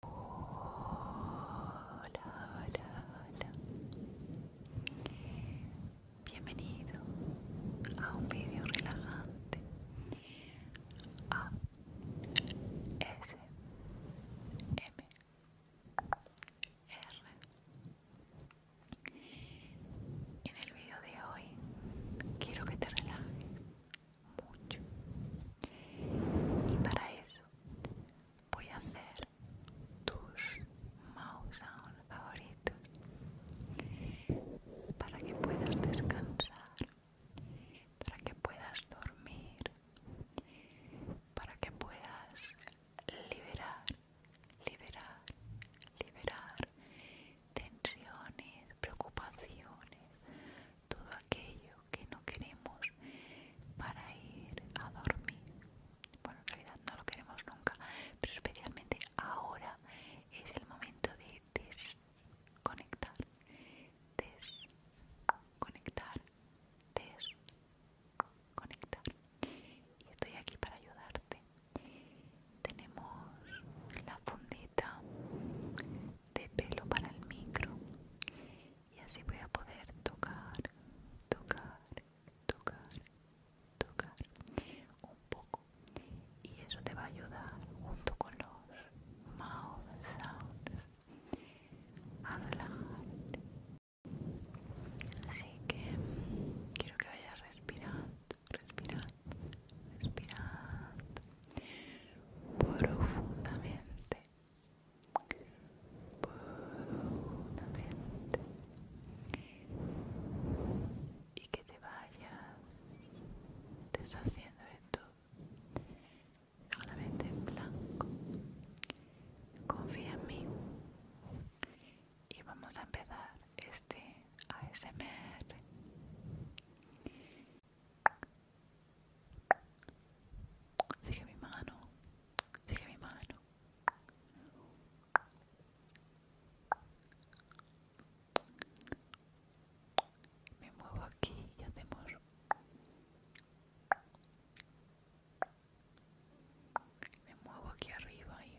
Hola, hola, Bienvenido a un video relajante. A S M R. En el video de hoy quiero que te relajes mucho y para eso voy a hacer tus mouse on favoritos para que puedas descansar para que puedas dormir para que puedas liberar liberar liberar tensiones preocupaciones todo aquello que no queremos para ir a dormir. Bueno, en realidad no lo queremos nunca, pero especialmente ahora es el momento de desconectar, desconectar, desconectar. Y estoy aquí para ayudarte. Tenemos la fundita de pelo para el micro y así voy a poder tocar, tocar, tocar, tocar un poco y eso te va a ayudar junto con los mouth sounds a relajarte así que quiero que vayas respirando respirando respirando profundamente y que te vayas deshaciendo esto mente en blanco confía en mí y vamos a empezar este ASMR Sigue mi mano. Sigue mi mano. Me muevo aquí y hacemos me muevo aquí arriba y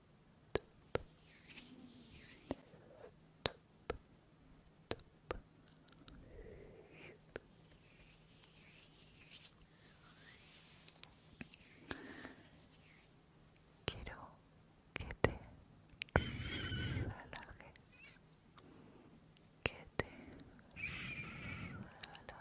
Quiero que te relajes, que te relajes, relájate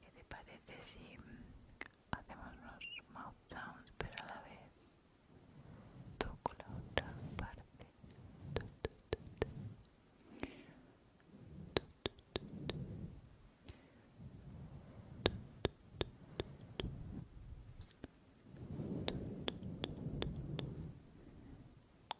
¿Qué te parece si hacemos unos mouth pero a la vez toco la otra parte?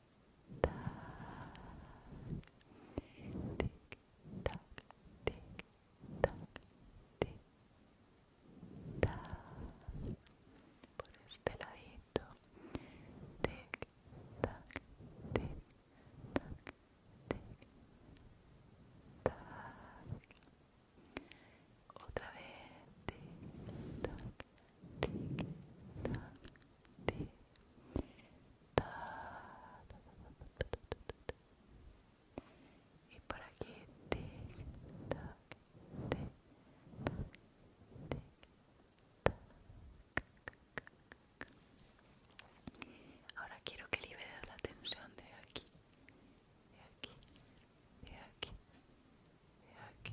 tac, tic, tac, tic, tac. Por este ladito, tic, tac, tic, tac, tic, tac. Otra vez, tic, tac, y por aquí ahora quiero que liberes la tensión de aquí de aquí de aquí de aquí,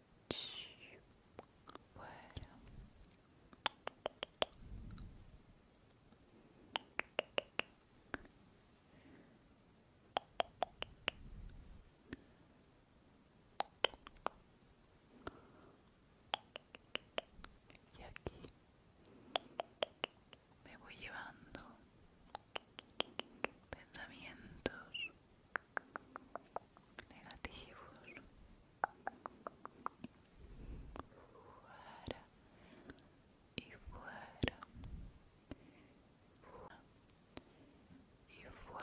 y aquí me voy llevando pensamientos negativos fuera y fuera y fuera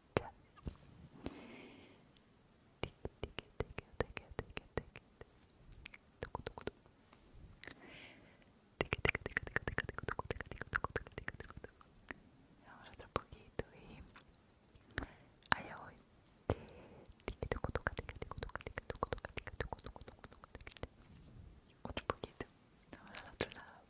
Vamos otro poquito y allá voy. Otro poquito. Vamos al otro lado.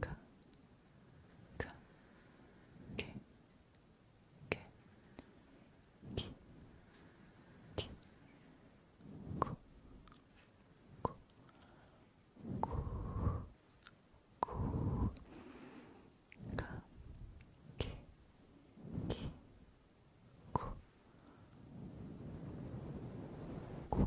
가, 가, 게, 게, 기, 기, 구, 구, 구, 구, 가, 게, 기, 구, 구, 구,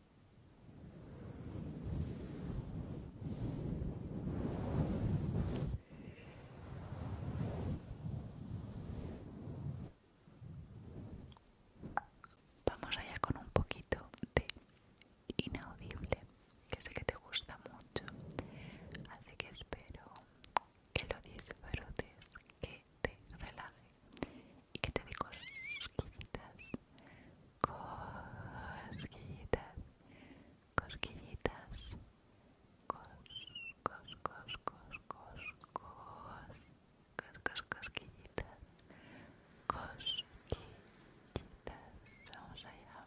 Vamos allá con un poquito de inaudible, que sé que te gusta mucho, así que espero que lo disfrutes, que te relaje y que te digo cosquillitas, cosquillitas, cosquillitas, cos, cos, cos, cos, cos, cos, cos, cosquillitas, cosquillitas, vamos allá.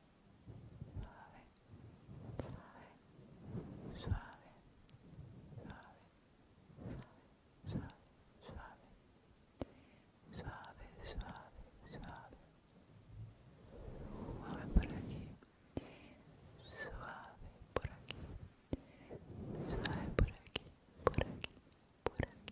suave, suave, suave, suave, suave, suave, suave, suave, suave por aquí, suave por aquí, suave por aquí, por aquí, por aquí,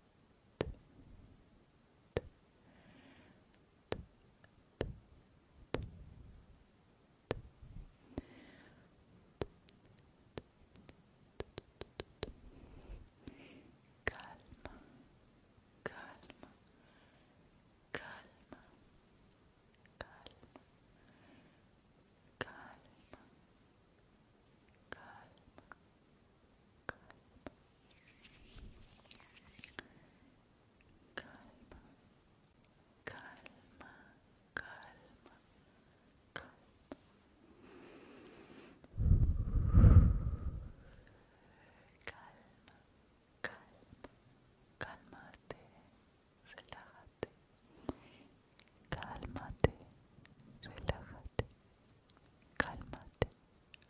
Calma, calma, calma, calma, calma, calma, calma, calma, calma, calma, calma, calmate, relájate, cálmate, relájate, cálmate,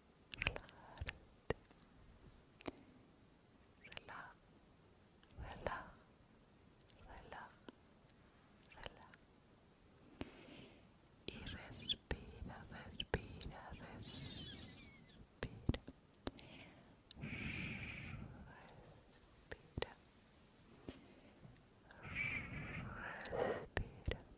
relajarte relaja relaja relaja y respira, respira, respira respira respira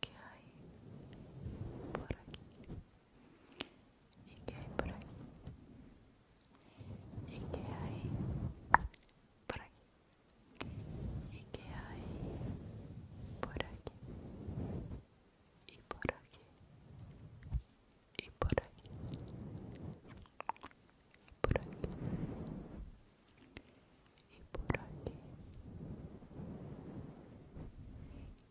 que hay por aquí y que hay por aquí y que hay por aquí y qué hay por aquí y por aquí y por aquí y por aquí y por aquí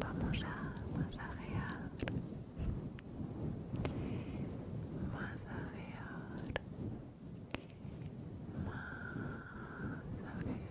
Vamos a masajear, masajear, masajear, masajear, masajear.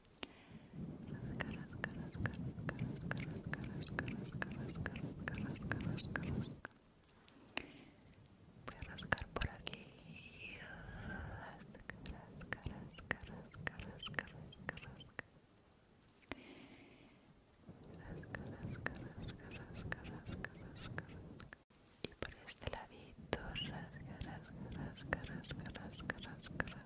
Voy a rascar por aquí. Rasca, rasca, rasca, rascar, rasca, rascar rascar. Rasca, rascar, rasca, rascar, rascar, rasca, rasca. Y por este ladito, rascar, rascar, rascar, rascar, rasca, rasca, rasca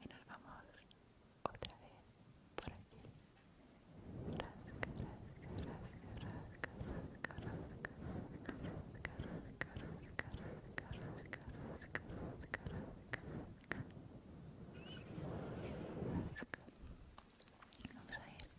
y nos vamos otra vez por aquí Vamos a ir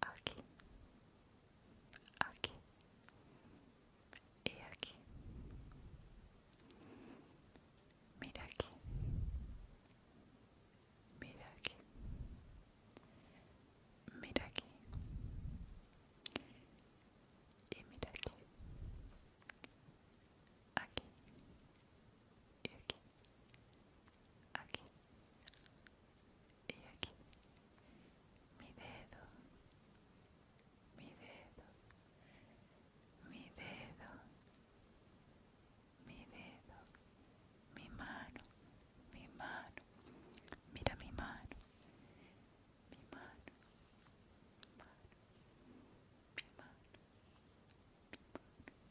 aquí, aquí y aquí. Mira aquí, mira aquí, mira aquí y mira aquí, aquí, aquí, aquí y aquí. Mi dedo, mi dedo, mi dedo, mi dedo, mi mano, mi mano, mira mi mano, mi mano,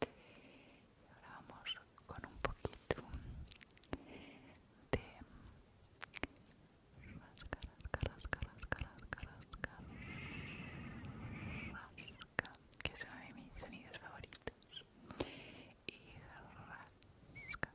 Y ahora vamos con un poquito de rasca, rasca, rasca, rasca, rasca, rasca, que es uno de mis sonidos favoritos. Y rasca,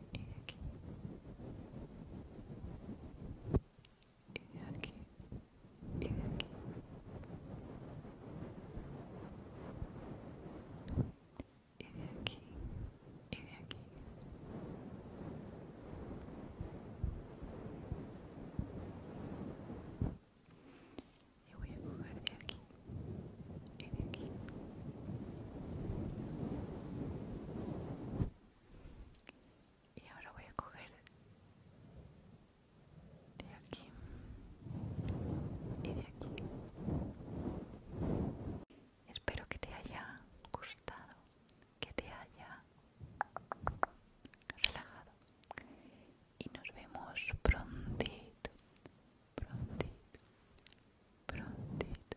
y de aquí y de aquí y de aquí y de aquí y de aquí y voy a coger de aquí de aquí y de aquí y ahora voy a coger de aquí y de aquí espero que te haya gustado que te haya relajado y nos vemos prontito prontito prontito